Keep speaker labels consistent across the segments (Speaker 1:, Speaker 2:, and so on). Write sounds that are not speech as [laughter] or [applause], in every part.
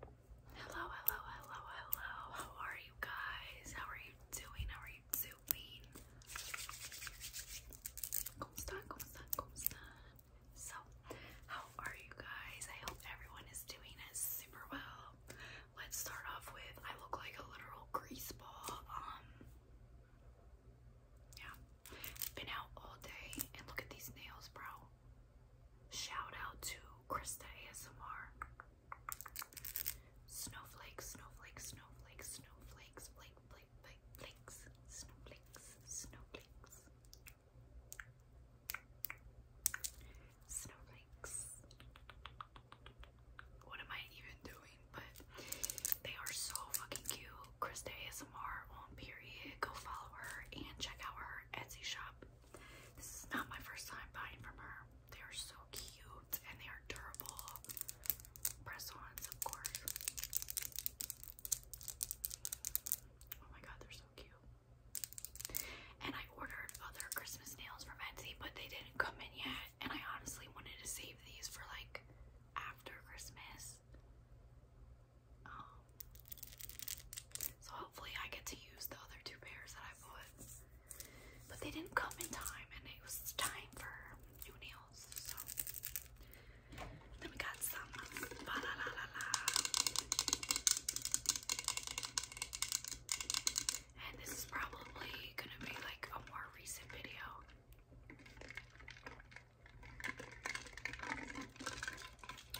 Speaker 1: Hello, hello, hello, hello. How are you guys? How are you doing? How are you doing? Como están? Como So, how are you guys? I hope everyone is doing super well. Let's start off with I look like a literal grease ball. Um, yeah, been out all day, and look at these nails, bro. Shout out to Krista ASMR. Snowflakes, snowflakes, snowflakes, snowflakes, flake, flake, flake, flakes, snowflakes, snowflakes. Snowflakes. What am I even doing? But they are so fucking cute. Krista ASMR on period. Go follow her and check out her Etsy shop. This is not my first time buying from her. They are so cute and they are durable. Press-ons, of course. Oh my god, they're so cute. And I ordered other Christmas nails from Etsy, but they didn't come in yet. And I honestly wanted to save these for like after Christmas. Um, so hopefully I get to use the other two pairs that I bought. But they didn't come in time and it was time for new nails. So then we got some And this is probably gonna be like a more recent video.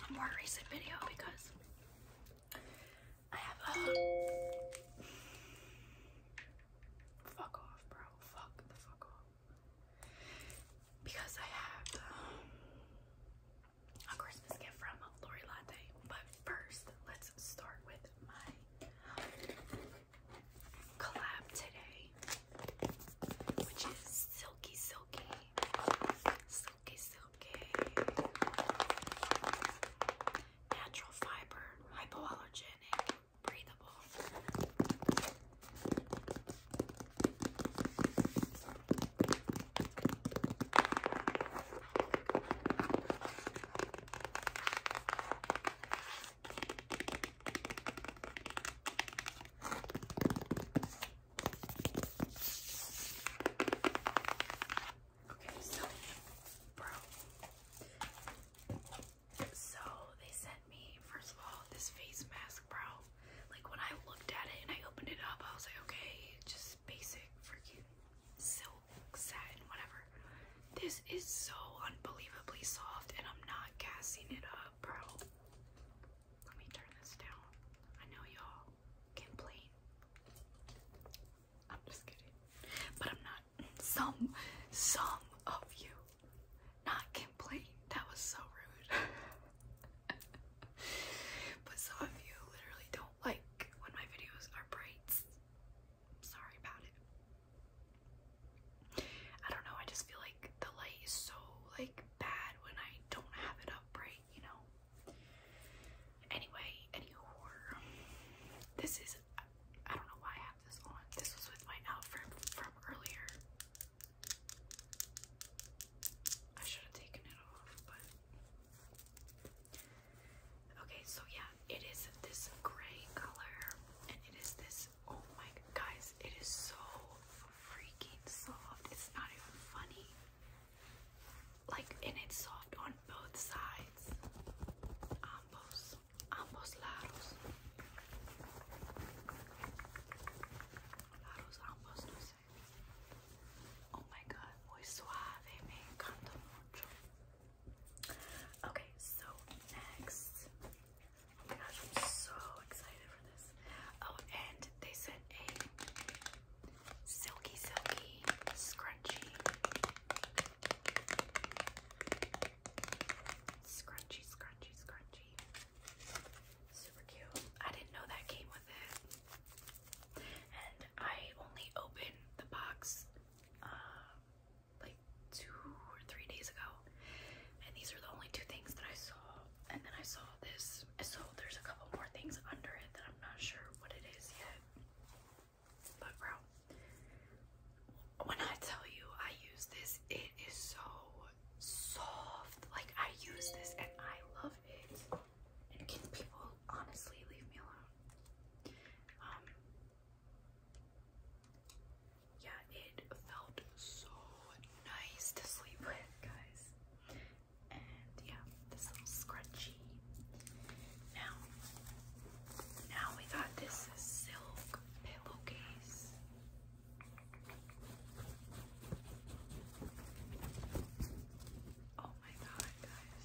Speaker 1: A more recent video because I have a fuck off, bro. Fuck the fuck off. Because I have um, a Christmas gift from Lori Latte. But first, let's start with my collab today, which is Silky Silky Silky, silky. Natural fiber, hypoallergenic, breathable. Okay, so, bro. So, they sent me, first of all, this face mask, bro. Like, when I looked at it and I opened it up, I was like, okay, just basic freaking silk, satin, whatever. This is so unbelievably soft, and I'm not gassing it up, bro. Let me turn this down. I know y'all complain. I'm just kidding. But I'm not. Some, some of you not complain. That was so rude. [laughs] but some of you literally don't like when my videos are braids. sorry about it. I don't know, I just feel like the light is so like bad when I don't have it up right, you know. Anyway, any This is, I don't know why I have this on. This was with my outfit from earlier. I should have taken it off, but. Okay, so yeah, it is this gray color, and it is this, oh my, guys, it is so freaking soft. It's not even funny like and it's soft on both sides. Ambos, ambos lados. Lados, ambos, no sé. Oh my god, muy suave, me encanta mucho. Okay, so next. Oh my gosh, I'm so excited for this. Oh, and they sent a silky, silky, scrunchy, scrunchy, scrunchy, scrunchy. Super cute. I didn't know that came with it, and I only opened the box uh, like two or three days ago, and these are the only two things that I saw. And then I saw this, so there's a couple more things under it that I'm not sure what it is yet. But bro, when I tell you I use this, it is so soft. Like I use this and I love it. And can people honestly leave me alone? Um yeah, it felt so nice to sleep with, guys and yeah, this little scrunchie. Now, now we got this silk pillowcase. Oh my god, guys,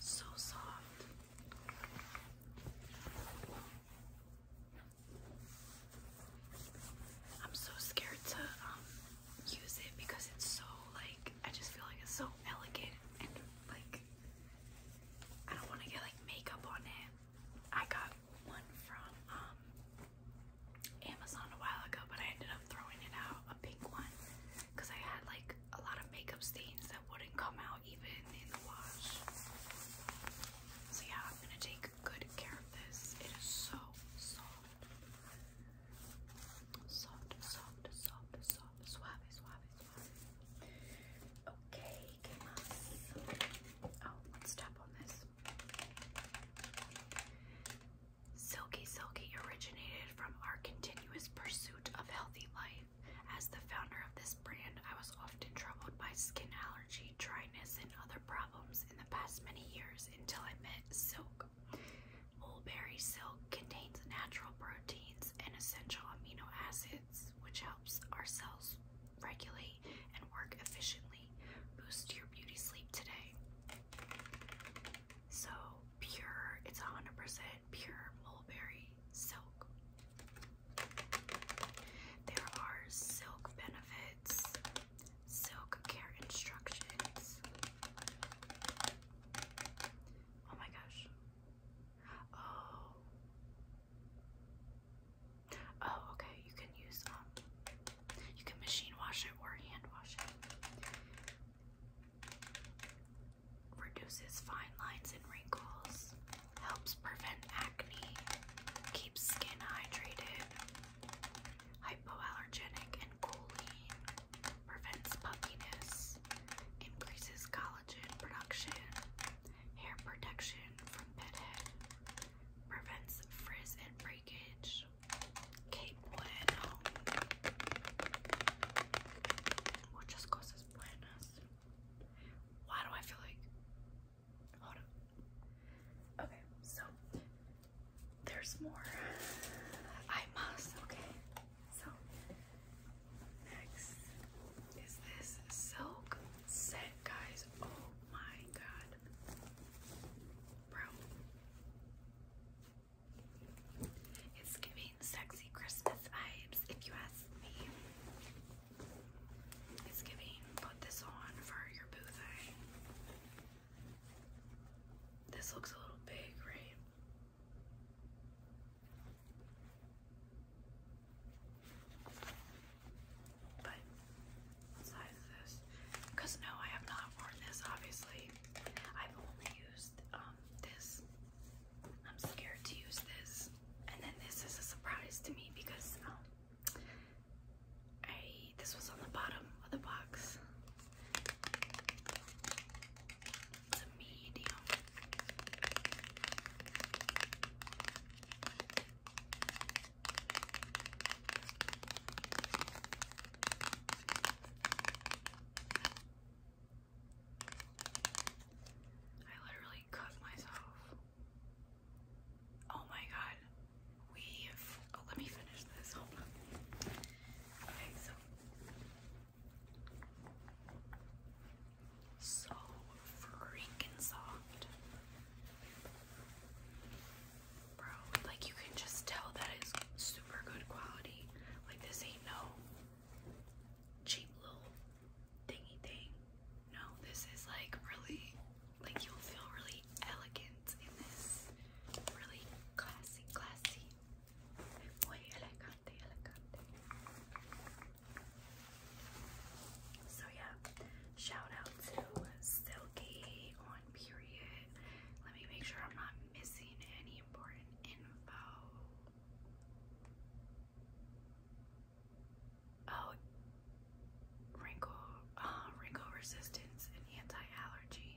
Speaker 1: so soft. I'm so scared to um use it because it's so like I just feel like it's so elegant and like I don't want to get like makeup on it. I got one from um, Amazon a while ago, but I ended up throwing it out, a pink one, because I had like a lot of makeup stains that wouldn't come out even in the wash. So yeah, I'm gonna take good care of this. It is so soft. Soft, soft, soft, soft, suave, suave, suave. Okay, que más? Oh, let's tap on this. Silky Silky originated from our continuous pursuit of healthy life. As the founder of this brand, I was often troubled by skin allergy, dryness, and other problems in the past many years until I met Silk Mulberry silk contains natural proteins and essential amino acids, which helps our cells regulate and work efficiently. Boost your beauty sleep today. So pure, it's 100% pure mulberry silk. There are silk benefits, silk care instructions. Oh my gosh. Oh. Oh, okay. You can use um you can machine wash it or hand wash it. Reduces fine lines and wrinkles. Helps prevent acne. Keeps skin hydrated. Hypoallergenic and cooling prevents puffiness, increases collagen production, hair protection from pet head, prevents frizz and breakage. Okay, bueno. Muchas cosas buenas. Why do I feel like. Okay, so there's more. I must, okay. So Next is this silk set, guys. Oh my god. It's giving sexy Christmas vibes, if you ask me. It's giving put this on for your boo This looks a little big, right? But size this? Because no, I have not worn this, obviously. I've only used um, this. I'm scared to use this. And then this is a surprise to me because um, I this was on the bottom of the box. It's a medium. I literally cut myself. Oh my god. We have. Oh, let me finish this. Okay, so so freaking soft. Bro, like you can just tell that it's super good quality. Like this ain't no cheap little thingy thing. No, this is like really, like you'll feel really elegant in this. Really classy, classy. So yeah, shout out to Silky on period. Let me make sure I'm not missing any important info. Oh, wrinkle, uh, wrinkle resistance and anti-allergy.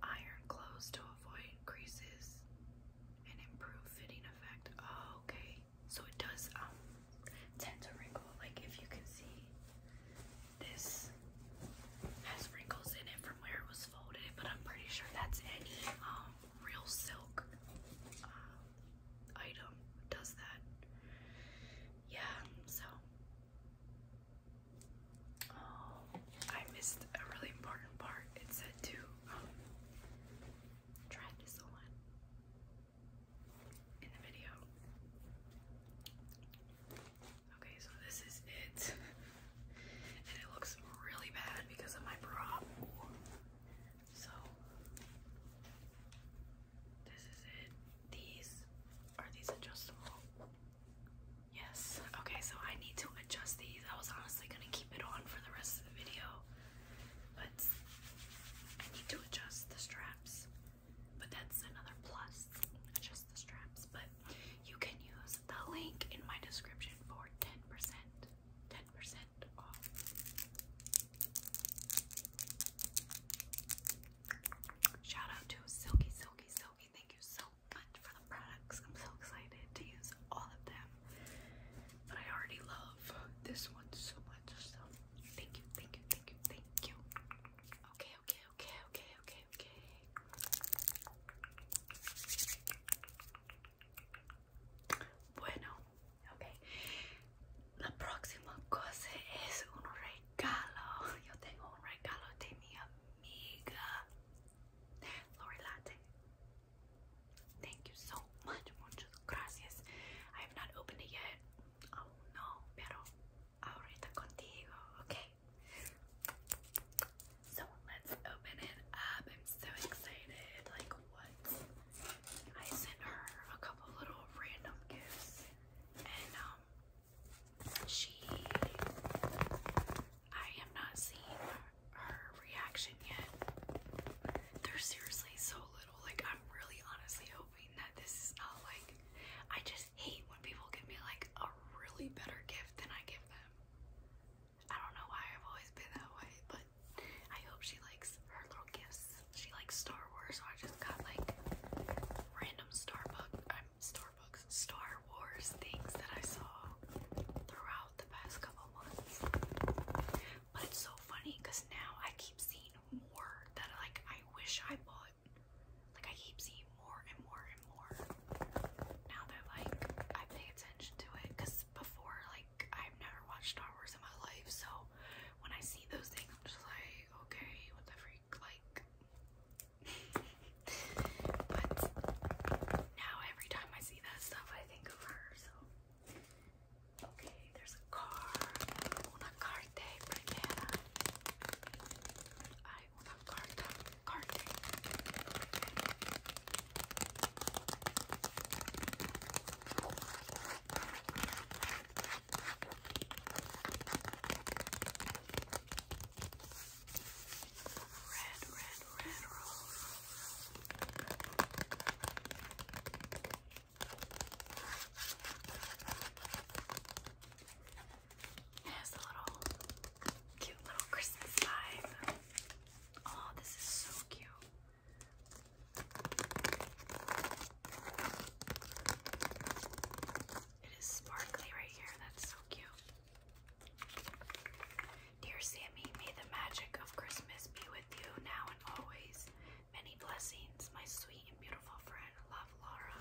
Speaker 1: Iron clothes to avoid creases an improved fitting effect. Oh, okay. So it does um tend to wrinkle. Like if you can see, this has wrinkles in it from where it was folded. But I'm pretty sure that's any um real silk uh, item does that. Yeah. So. Oh, I missed a really important part. It said to tried this on in the video. Okay, so this is it. and it looks really bad because of my bra. So this is it. These are these adjustable? Yes. Okay, so I need to adjust these. I was honestly gonna keep it on for the rest of the video, but I need to adjust the straps. But that's another plus. Adjust the straps. But you can use the link in my description for 10%. 10% off. Shout out to Silky Silky Silky. Thank you so much for the products. I'm so excited to use all of them. But I already love this one so much. So thank you, thank you, thank you, thank you. Okay, okay, okay, okay, okay, okay. Bueno, okay. La próxima cosa es un regalo. Yo tengo un regalo de mi amiga. Lori Latte. Thank you so much, muchas gracias. I have not opened it yet. Oh no, pero ahorita contigo, okay? So let's open it up. I'm so excited. Like what? I sent her a couple little random gifts, and um, she. I have not seen her reaction yet. There's seriously so little. Like, I'm really honestly hoping that this is not like. I just hate when people give me like a really better gift than I give them. I don't know why I've always been that way, but I hope she likes her little gifts. She likes Star Wars, so I just got like random Starbucks, um, Starbucks, Star Wars things that I saw throughout the past but it's so funny because now I keep seeing more that like I wish I bought. Like I keep seeing more and more and more. Now that like I pay attention to it, because before like I've never watched Star Wars in my life, so when I see those things, I'm just like, okay, what the freak, like. [laughs] but now every time I see that stuff, I think of her so. Okay, there's a car. Una carte primera. I una carta carte. Red, red, red rose has a little cute little Christmas vibe. Oh, this is so cute. It is sparkly right here. That's so cute. Dear Sammy, may the magic of Christmas be with you now and always. Many blessings, my sweet and beautiful friend. Love, Laura.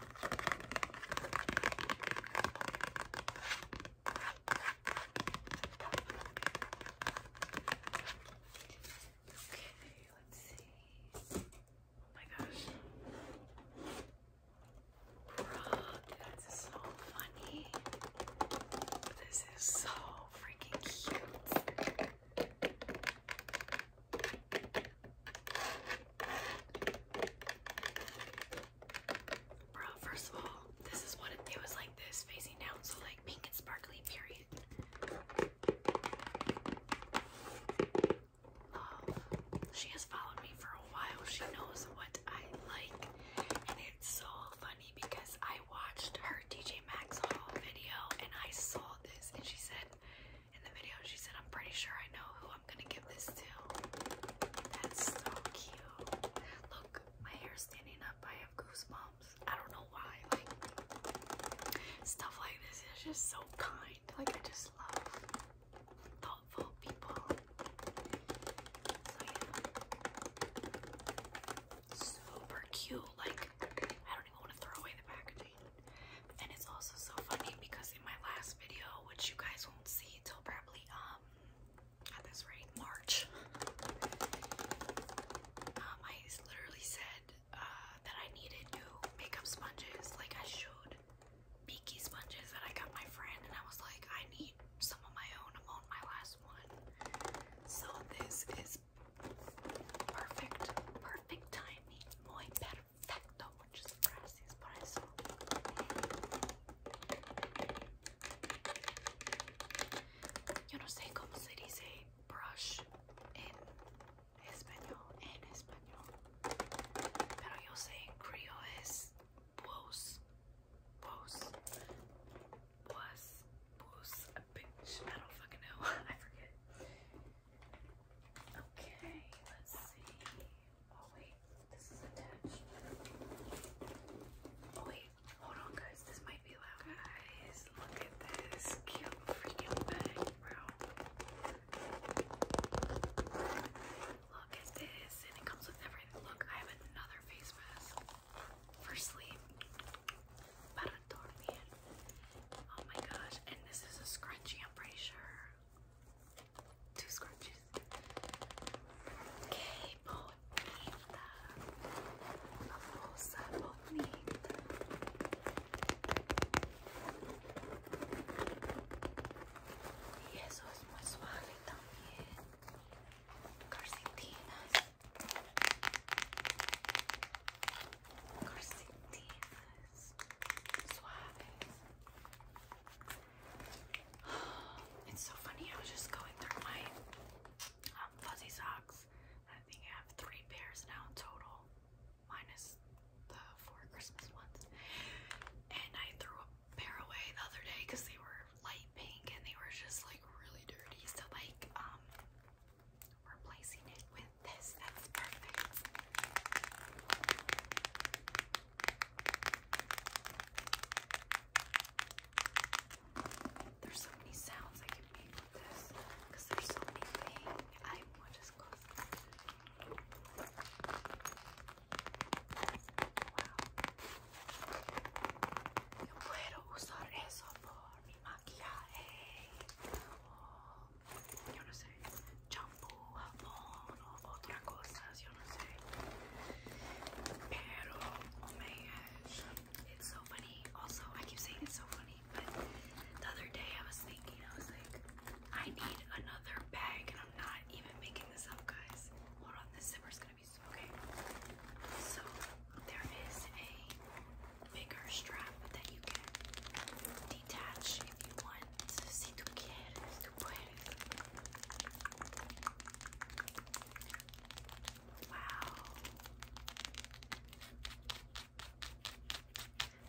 Speaker 1: Okay, let's see. Oh my gosh. that's so funny. This is so Bro, first of all, this is what it, was like this facing down, so like pink and sparkly, period. She has followed me for a while. She knows what I like, so funny because I watched her DJ Max haul video and I saw this and she said in the video she said I'm pretty sure I know who I'm gonna give this to. That's so cute. Look, my hair's standing up. I have goosebumps. I don't know why. Like stuff like this is just so kind. Like I just love thoughtful people super cute. Like, I don't even want to throw away the packaging. And it's also so funny because in my last video, which you guys won't see until probably, um, at this rate, March, um, I literally said, uh, that I needed new makeup sponges. Like, I showed Beaky sponges that I got my friend, and I was like, I need some of my own. I'm on my last so this is perfect, perfect timing. Muy perfecto, muchas gracias por eso. Yo no sé cómo se dice brush en español, en español. Pero yo sé creo es voz, voz. Bois, Bois, bitch. I don't fucking know. [laughs] I forget. Okay, let's see. Oh wait, this is attached. Oh wait, hold on guys, this might be loud. Guys, look at this cute freaking bag, bro. Look at this, and it comes with everything. Look, I have another face mask for sleep. Para dormir. Oh my gosh, and this is a scrunchie, I'm pretty sure. Two scrunchies. Que bonita. A bolsa bonita. Y eso es muy suave también. Calcetinas. It's so funny. I was just going through my um, fuzzy socks. I think I have three pairs now total, minus the four Christmas ones. And I threw a pair away the other day because they were light pink and they were just like really dirty. So like um replacing it with this. That's perfect. There's so many sounds I can make with this because there's so many things. I will just close Wow. Yo puedo usar eso por it's so funny. Also, I keep saying it's so funny, but the other day I was thinking, I was like, I need another bag, and I'm not even making this up, guys. Hold on, this zipper's gonna be size. Okay, so there is a bigger strap that you can detach if you want. Si tú quieres, tú puedes. Wow.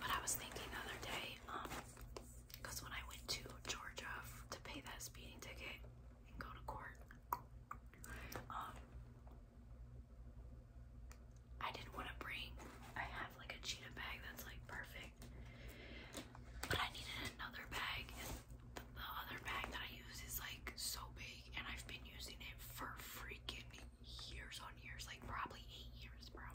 Speaker 1: But I was thinking the other day, um, because when I went to Georgia to pay that speeding ticket and go to court, um, I didn't want to bring, I have like a cheetah bag that's like perfect, but I needed another bag, and the, the other bag that I use is like so big, and I've been using it for freaking years on years, like probably eight years, bro.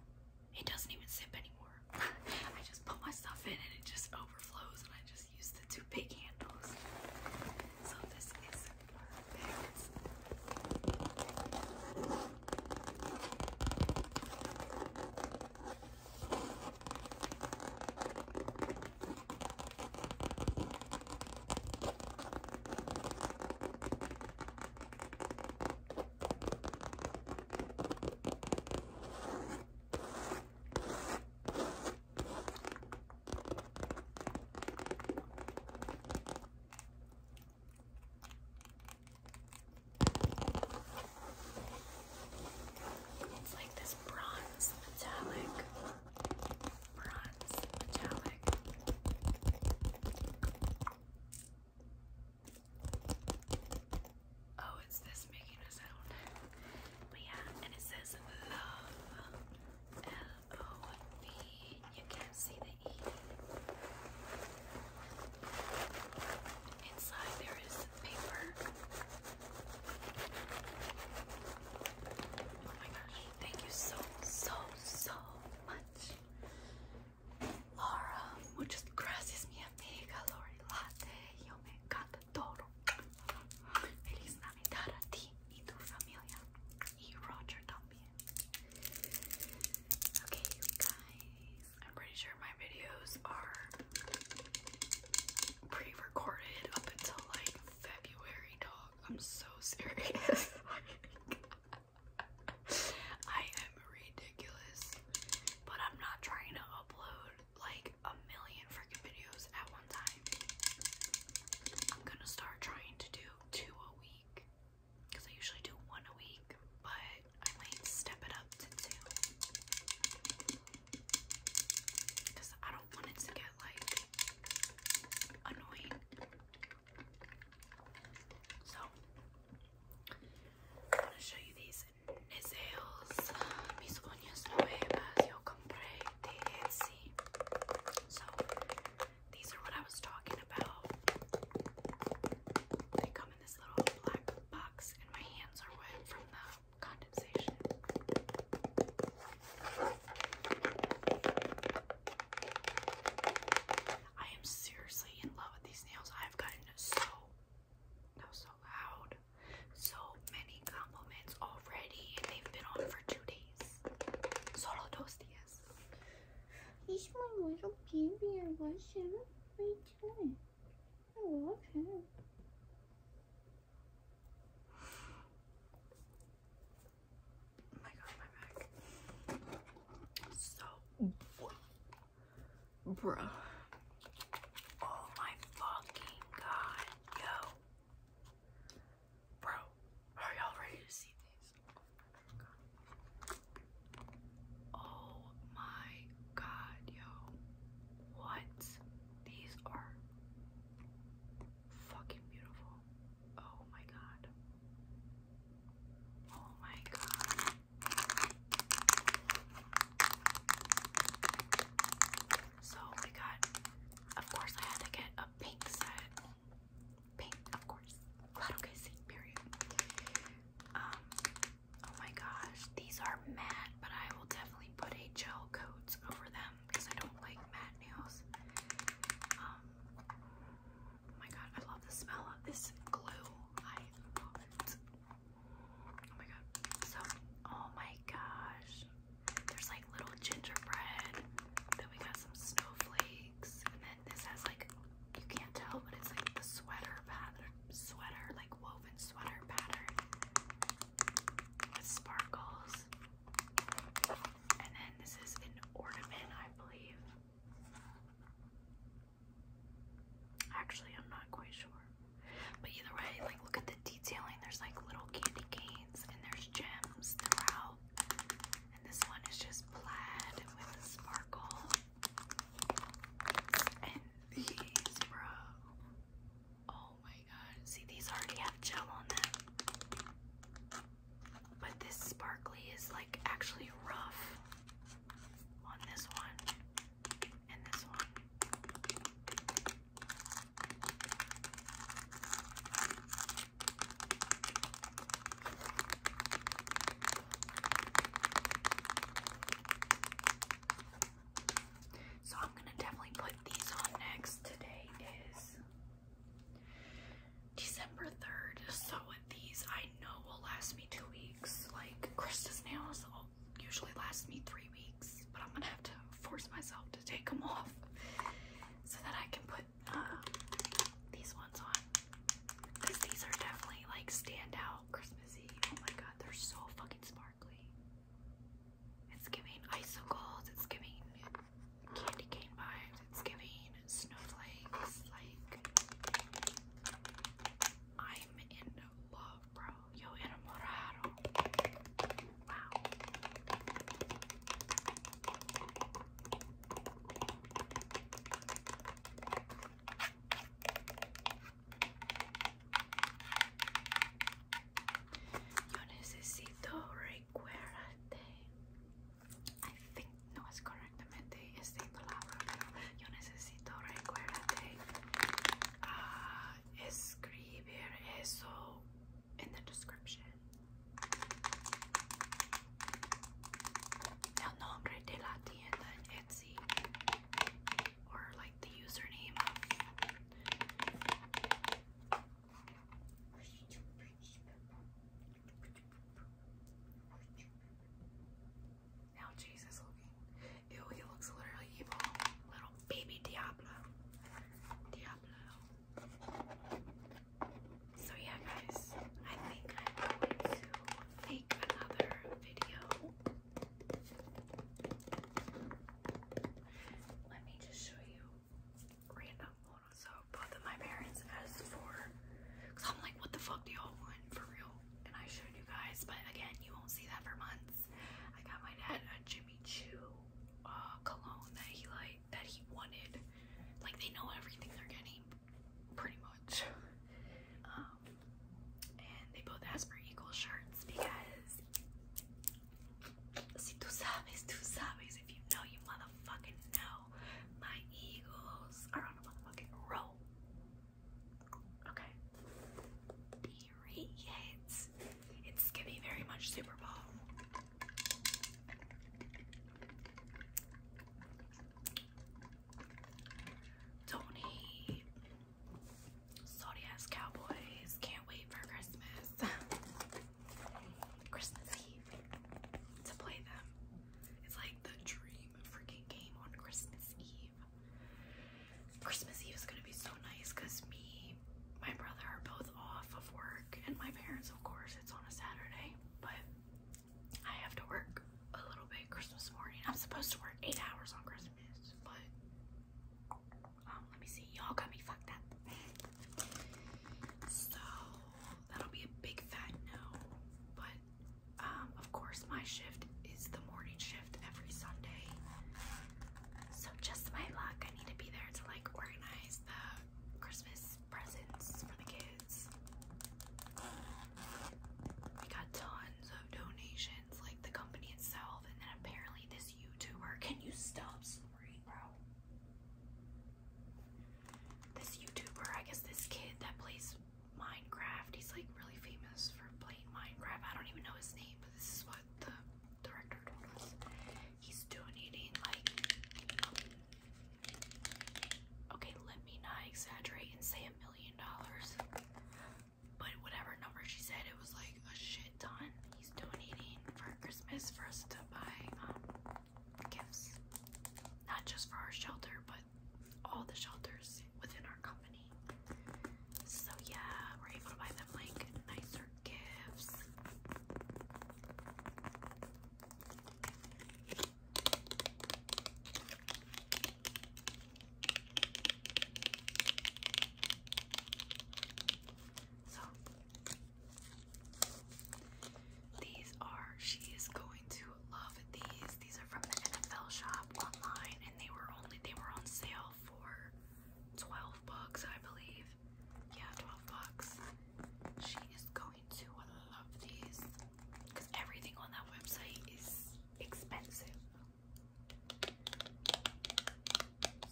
Speaker 1: It doesn't even zip anymore. [laughs] I just put my stuff in and it just overflows, and I just use the two two big handles. So this is perfect. It's like this bronze metallic, bronze metallic. Oh, it's this making a sound. But yeah, and it says love. O oh, B. You can't see the E. Inside there is paper. Oh my gosh. Thank you so, so, so much. Laura, muchas gracias, mi amiga Lori Yo me encanta todo. Feliz Navidad a ti y tu familia. You Roger Dumpy. Okay, guys. I'm pretty sure my videos are pre-recorded up until like February, dog. I'm so [laughs] serious. I am ridiculous, but I'm not trying to upload like a million freaking videos at one time. I'm gonna start trying to do two a week because I usually do one a week, but I might step it up to two because I don't want it to get like annoying. So, I'm gonna show you these nails. Mi sueños nuevas yo compré de So, these are what I was talking about. They come in this little black box, and my hands are wet from the condensation. I am seriously in love with these nails. I've gotten so, so loud, so many compliments already, and they've been on for two days. Solo dos yes. He's my little baby. I love him. What my god, my back. So, bruh. Oh my fucking god, yo. Bro, are y'all ready to see these? Oh my god, yo. What? These are fucking beautiful. Oh my god. Oh my god. So we got, of course, I had to get a pink set Pink, of course. Claro que sí, period. Um, oh my gosh, these are matte, but I will definitely put a gel coat over them because I don't like matte nails. Um, oh my god, I love the smell of this glue. I love it. Oh my god. So, oh my gosh. There's like little gingerbread. Then we got some snowflakes cheeks. And then this has like, you can't tell, but it's like the sweater pattern, sweater, like woven sweater pattern with sparkles. And then this is an ornament, I believe. Actually, I'm not quite sure. But either way, like look at the detailing. There's like little candy canes and there's gems throughout. And this one is just plaid with a sparkle. And these, bro. Oh my god. See, these already have gel on them. But this sparkly is like actually rough on this one and this one. So I'm gonna definitely put these on next. Today is December 3rd, so these I know will last me two weeks. Like Krista's nails usually last me three weeks, but I'm gonna have to force myself to take them off so that I can put um, these ones on because these are definitely like standout Christmassy. Oh my god, they're so fucking sparkly. It's giving icicles, it's giving candy cane vibes, it's giving snowflakes. Like, I'm in love, bro. Yo enamorado. Wow. Yo necesito recuérdate. I think no es correctamente esta palabra, yo necesito recuérdate uh, escribir eso in the description. El nombre de la tienda Etsy, or like the username Now Jesus looking. Ew, he looks literally evil. Little baby Diablo. Diablo. So yeah guys, I think I'm going to make another video. Let me just show you random photos of both of my parents as for because I'm like what the fuck do y'all want for real? And I showed you guys, but again you won't see that for months. I got my dad a Jimmy Choo uh cologne that he like that he wanted. Like they know everything they're getting pretty much. Um, and they both asked for equal shirts because si tu sabes, tu sabes, if you know, you motherfucking know. My eagles are on a motherfucking roll. Okay. Period. It's gonna be very much Super Bowl. Tony, salty ass cowboys, can't wait for Christmas. Christmas Eve to play them. It's like the dream freaking game on Christmas Eve. Christmas Eve is gonna be so nice because me, my brother are both off of work, and my parents, of course, it's on a Saturday, but I have to work a little bit Christmas morning. I'm supposed to work eight hours on Christmas, but um, let me see. Y'all got me fucked up. [laughs] so that'll be a big fat no. But um, of course, my shift is the morning shift every Sunday. So just my luck. I need to be there to like organize the Christmas presents for the kids. We got tons of donations, like the company itself, and then apparently this YouTuber. Can you stop snoring, bro? This YouTuber, I guess this kid that plays Minecraft, he's like really famous for playing Minecraft. I don't even know his name, but this is what the director told He's donating like Okay, let me not exaggerate and say a million dollars. But whatever number she said, it was like a shit ton. He's donating for Christmas for us to buy um, gifts. Not just for our shelter, but all the shelters within our company. So yeah, we're able to buy them like nicer gifts. So these are she is going to love these. These are from the NFL shop online and they were only they were on sale for 12 bucks, I believe. Yeah, 12 bucks. She is going to love these because everything on that website is expensive.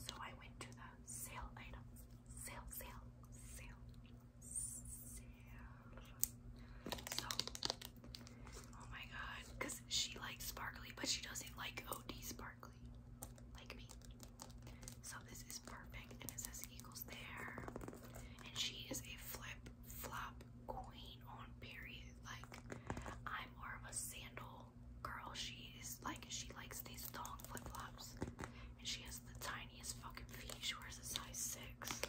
Speaker 1: So I went to the sale items. Sale, sale, sale, sale. So, oh my god, because she likes sparkly, but she doesn't like OD sparkly, like me. So this is perfect, and it says equals there. And she is a flat flip flop queen on period. Like I'm more of a sandal girl. She is like she likes these thong flip flops, and she has the tiniest fucking feet. She wears a size six.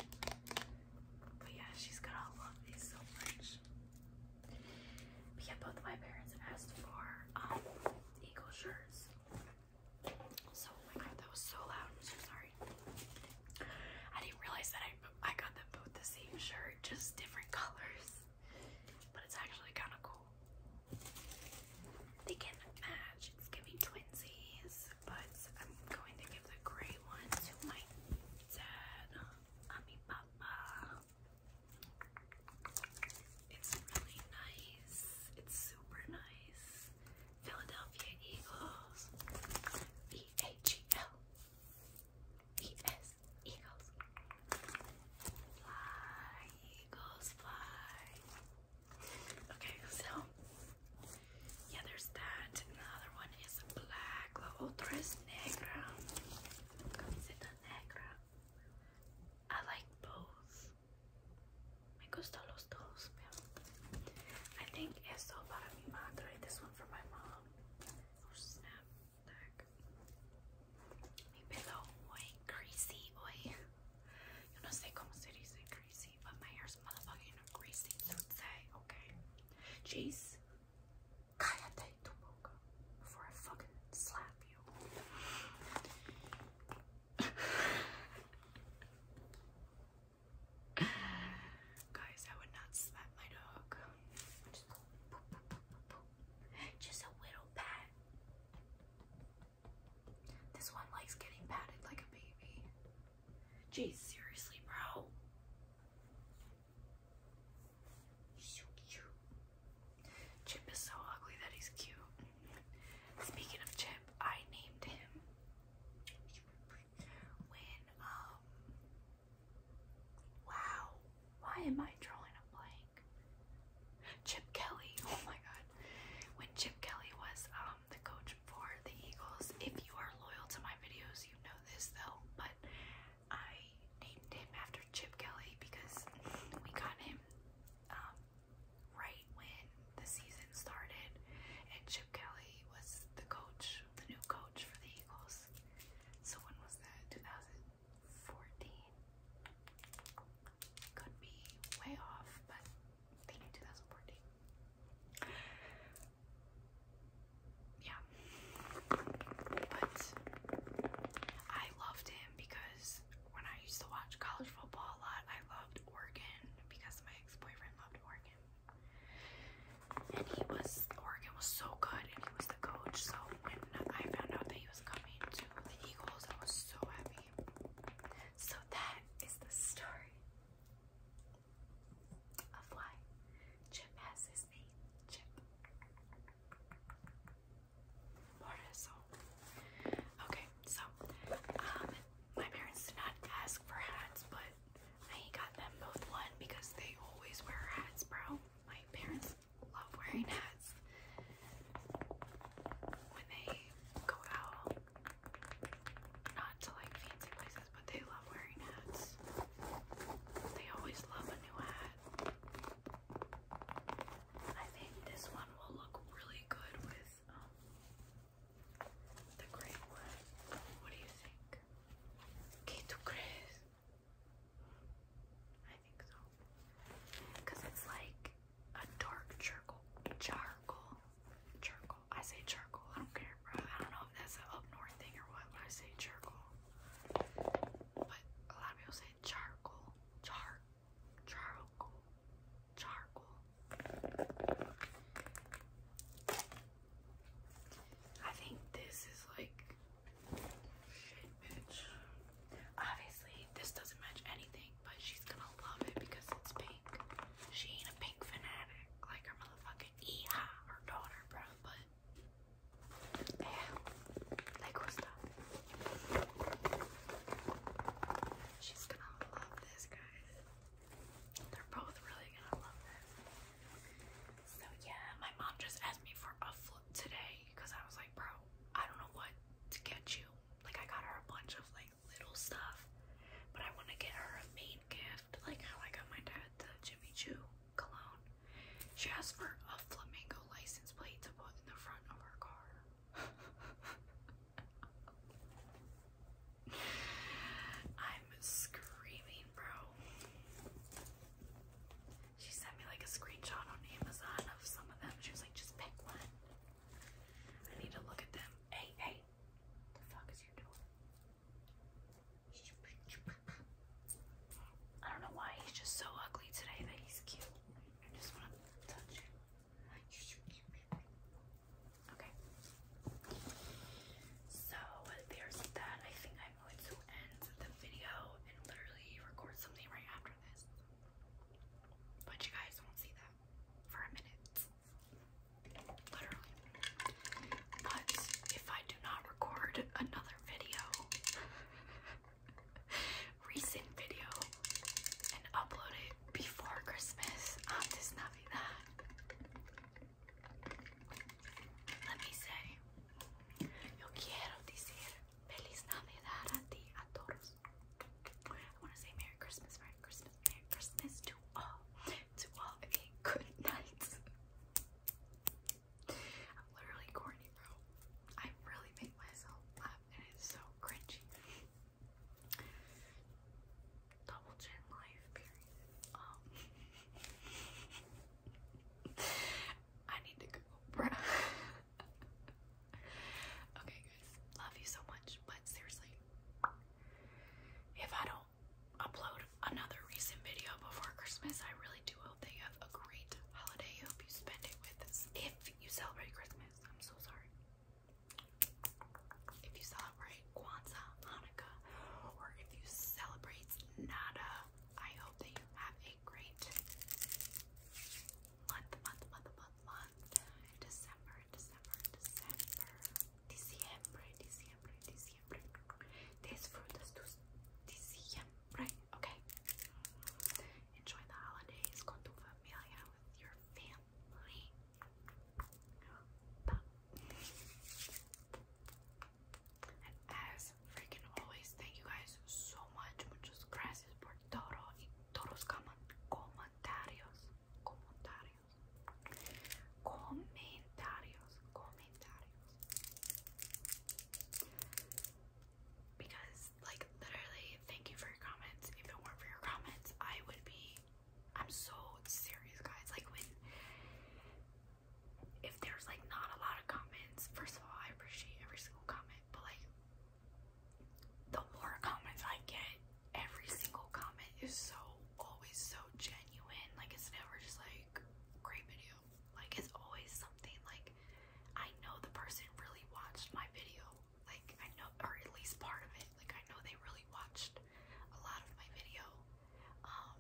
Speaker 1: But yeah, she's gonna love these so much. both my parents asked for um, eagle shirts. So, oh my god, that was so loud. I'm so sorry. I didn't realize that I, I got them both the same shirt, just different [laughs] colors. But it's actually kind of cool. They can match. It's giving twinsies, but I'm going to give the gray one to my dad. I papa. It's really nice. It's super nice. Philadelphia Eagles. E A G L E S Eagles. Fly, Eagles, fly. Okay, so yeah, there's that, and the other one is black. La otra es negra. negra. I like both. Me gustan los dos. I think esto para mi madre. This one for my mom. Or oh, snap back. Mi pelo muy greasy hoy. Yo no sé cómo se dice greasy, but my hair's motherfucking greasy. Don't say, okay? Jeez. tu boca before I fucking slap you. Guys, I would not slap my dog. Just, a little pat. This one likes getting patted like a baby. Geez, seriously, bro. Chip is so ugly that he's cute. Speaking of Chip, I named him when um wow, why am I drawing a blank? Chip Kelly, [laughs] oh my god. When Chip Kelly was um the coach for the Eagles, if you are loyal to my videos, you know this though, but I named him after Chip Kelly because we got him um right when the season started and Chip Kelly was the coach, the new coach for the Eagles. So when was that? 2014? Could be way off, but I'm thinking 2014. Yeah. But I loved him because when I used to watch college football a lot, I loved Oregon because my ex boyfriend loved Oregon. And he was, Oregon was so good, and he was the coach. So when I found out that he was coming to the Eagles, I was so happy. So that is the story of why Chip has his name, Chip. Okay, so um, my parents did not ask for hats, but I got them both one because they always wear hats, bro. My parents love wearing hats when they go out. Not to like fancy places, but they love wearing hats. They always love a new hat. I think this one will look really good with um, the great one. What do you think? ¿Qué tú crees? I think so. Because it's like a dark charcoal. Charcoal. Charcoal. I say charcoal. I don't care, bro. I don't know if that's an up north thing or what, but I say charcoal. But a lot of people say charcoal. Char. Charcoal. Charcoal. I think this is like shit, bitch. Obviously, this doesn't match anything, but she's gonna love it because it's pink. She ain't a pink fanatic like her motherfucking Eha, her daughter, bro. But yeah, like Gusta. She's gonna love this, guys. They're both really gonna love it. So yeah, my mom just asked me for a flip today because I was like, bro, I don't know what to get you. Like I got her a bunch of like little stuff, but I want to get her a main gift, like how I got my dad the Jimmy Choo cologne. She asked for a flamingo license plate to put in the front of her car. [laughs] I'm screaming, bro. She sent me like a screenshot on Amazon of some of them. She was like, just pick one. I need to look at them. Hey, hey. The fuck is your door? I don't know why he's just so ugly today that he's cute. I just want to touch him. Okay. So there's that. I think I'm going to end the video and literally record something right after this. But you guys won't see that for a minute. Literally. But if I do not record another video, [laughs] recent video, and upload it before Christmas, I'm just not be that. Let me say, I want to say Merry Christmas, Merry Christmas, Merry Christmas to all, to all, okay, good night. I'm literally corny, bro. I really make myself laugh and it's so cringy double chin life, period. Um, [laughs] I need to go, [laughs] okay, guys, love you so much, but seriously, if I don't upload another recent video before Christmas, I really do hope that you have a great holiday. I hope you spend it with us. If you celebrate Christmas, I'm so sorry. If you saw celebrate Kwanzaa, Hanukkah, or if you celebrate nada, I hope that you have a great month, month, month, month, month. December, December, December, December, December, December. Disfrutas tus December. Okay. Enjoy the holidays con tu familia with your family. Bye. And as freaking always, thank you guys so much. Muchas gracias por todo y todos comentarios. Comentarios. Comentarios. Comentarios. Because, like, literally, thank you for your comments. If it weren't for your comments, I would be. I'm so serious, guys. Like, when if there's like not a lot of comments, first of all, I appreciate every single comment, but like the more comments I get, every single comment is so always so genuine. Like it's never just like great video. Like it's always something like I know the person really watched my video. Like I know or at least part of it. Like I know they really watched a lot of my video. Um,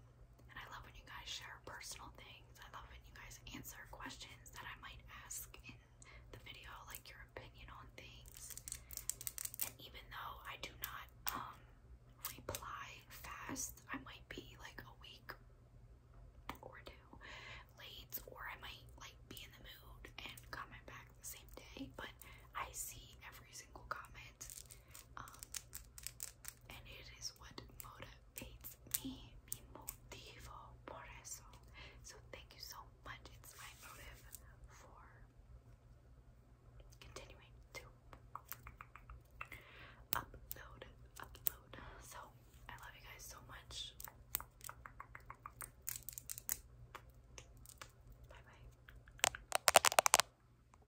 Speaker 1: and I love when you guys share personal things. I love when you guys answer questions that I might ask in the video, like your opinion on things. And even though I do not um, reply fast, I might be like a week or two late, or I might like be in the mood and comment back the same day. But I see every single comment. Um, and it is what motivates me, mi motivo por eso. So thank you so much. It's my motive for continuing to upload, upload. So I love you guys so much. Bye bye.